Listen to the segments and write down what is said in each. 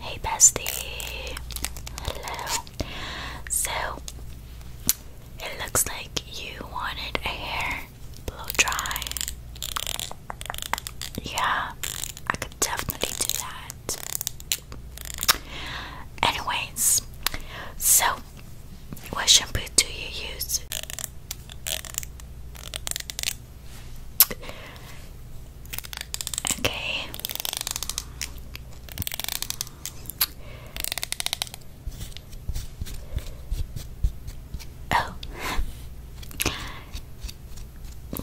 Hey bestie! Hello! So, it looks like you wanted a hair blow dry. Yeah, I could definitely do that. Anyways, so what shampoo do you use? Okay. Oh.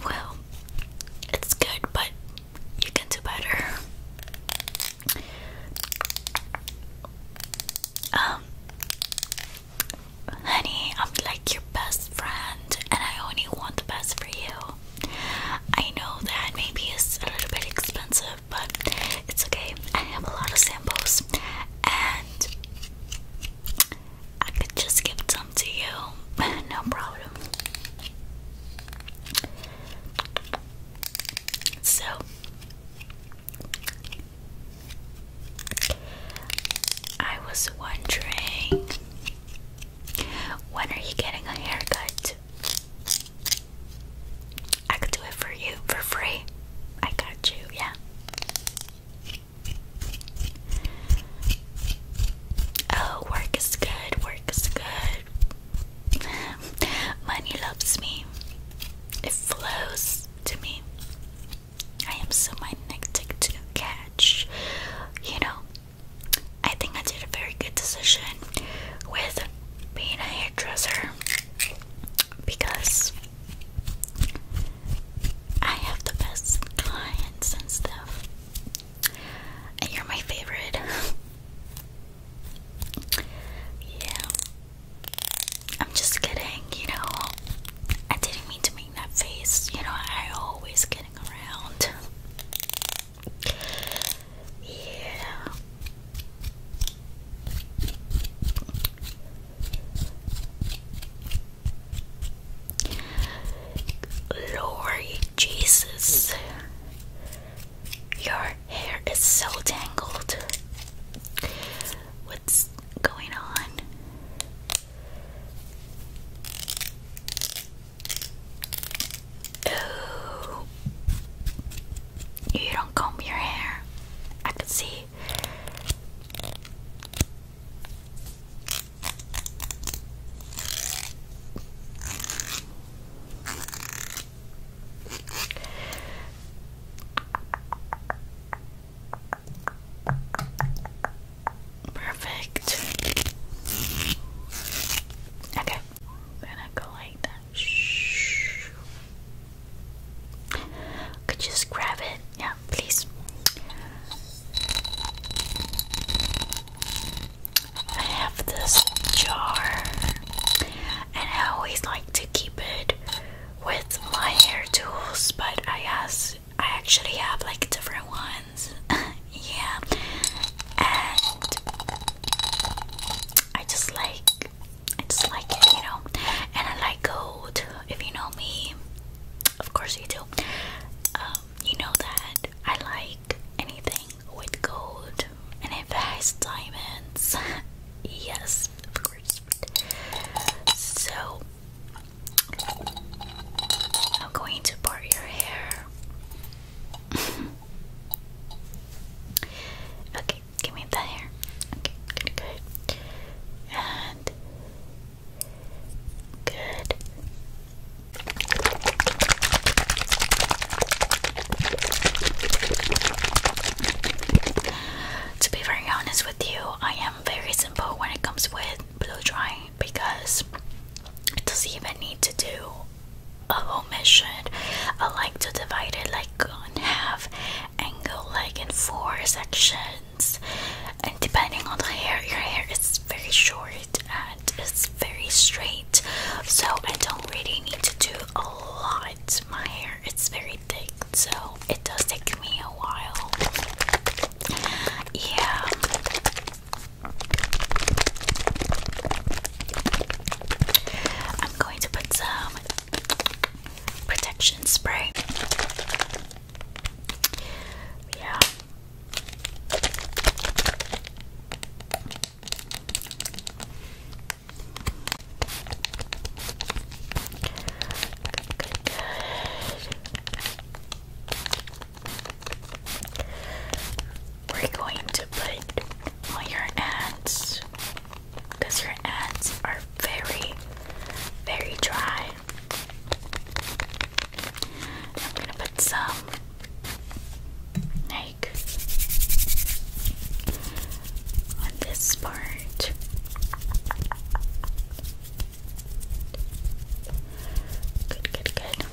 Well, it's good, but you can do better. Um, honey, I'm like your best friend, and I only want the best for you. I know that maybe it's a little bit expensive, but it's okay. I have a lot of samples and I could just give some to you. no problem. So I was wondering when are you getting a haircut? I could do it for you for free. I got you, yeah. Oh, work is good, work is good. Money loves me, it flows to me. I am so magnetic to catch. You know, I think I did a very good decision with being a hairdresser because I have the best clients and stuff, you're my favorite. yeah, I'm just kidding, you know. I didn't mean to make that face, you know. I always get getting Lord Jesus, your hair is so tangled. What's going on? Ooh. You don't comb your hair. I can see. Perfect. Okay. I'm gonna go like that. Could just grab it? Yeah, please. I have this jar, and I always like to keep it with my hair tools, but I guess I actually have like different ones. yeah. And I just like I just like it, you know. And I like gold. If you know me, of course you do. Um, you know that I like anything with gold and it has diamonds. yes, of course. So I'm going to part your hair okay, give me the hair. Okay, good, good. And good. To be very honest with you, I am very simple when it comes with blow drying because it doesn't even need to do a whole mission. I like to divide it like in half and go like in four sections. And depending on the hair, your hair is very short and it's very straight, so I don't really need to do a lot. My hair it's very thick, so it does take me a while. Yeah. I'm going to put some protection spray. Yeah. We're going to put on your ants because your ants are very, very dry. I'm gonna put some like on this part. Good, good, good.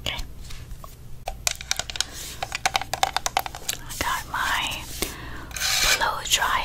Okay. I got my blow dryer.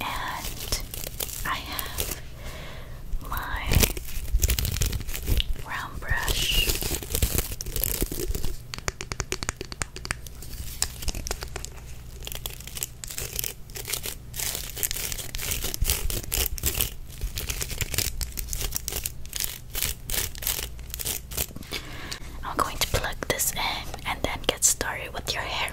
And I have my round brush. I'm going to plug this in and then get started with your hair.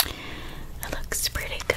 Okay. It looks pretty good.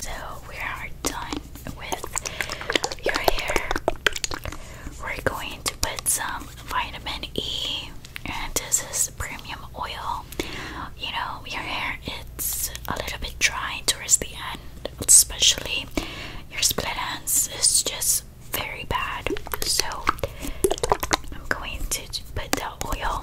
So we are done with your hair. We're going to put some vitamin E and this is premium oil. You know, your hair it's a little bit dry towards the end, especially your split ends is just very bad. So I'm going to put the oil.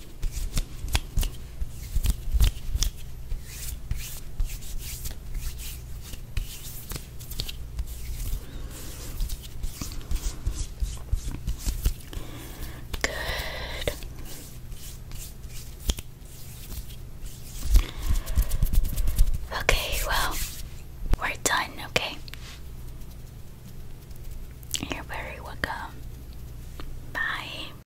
Good. Okay, well, we're done, okay? You're very welcome. Bye.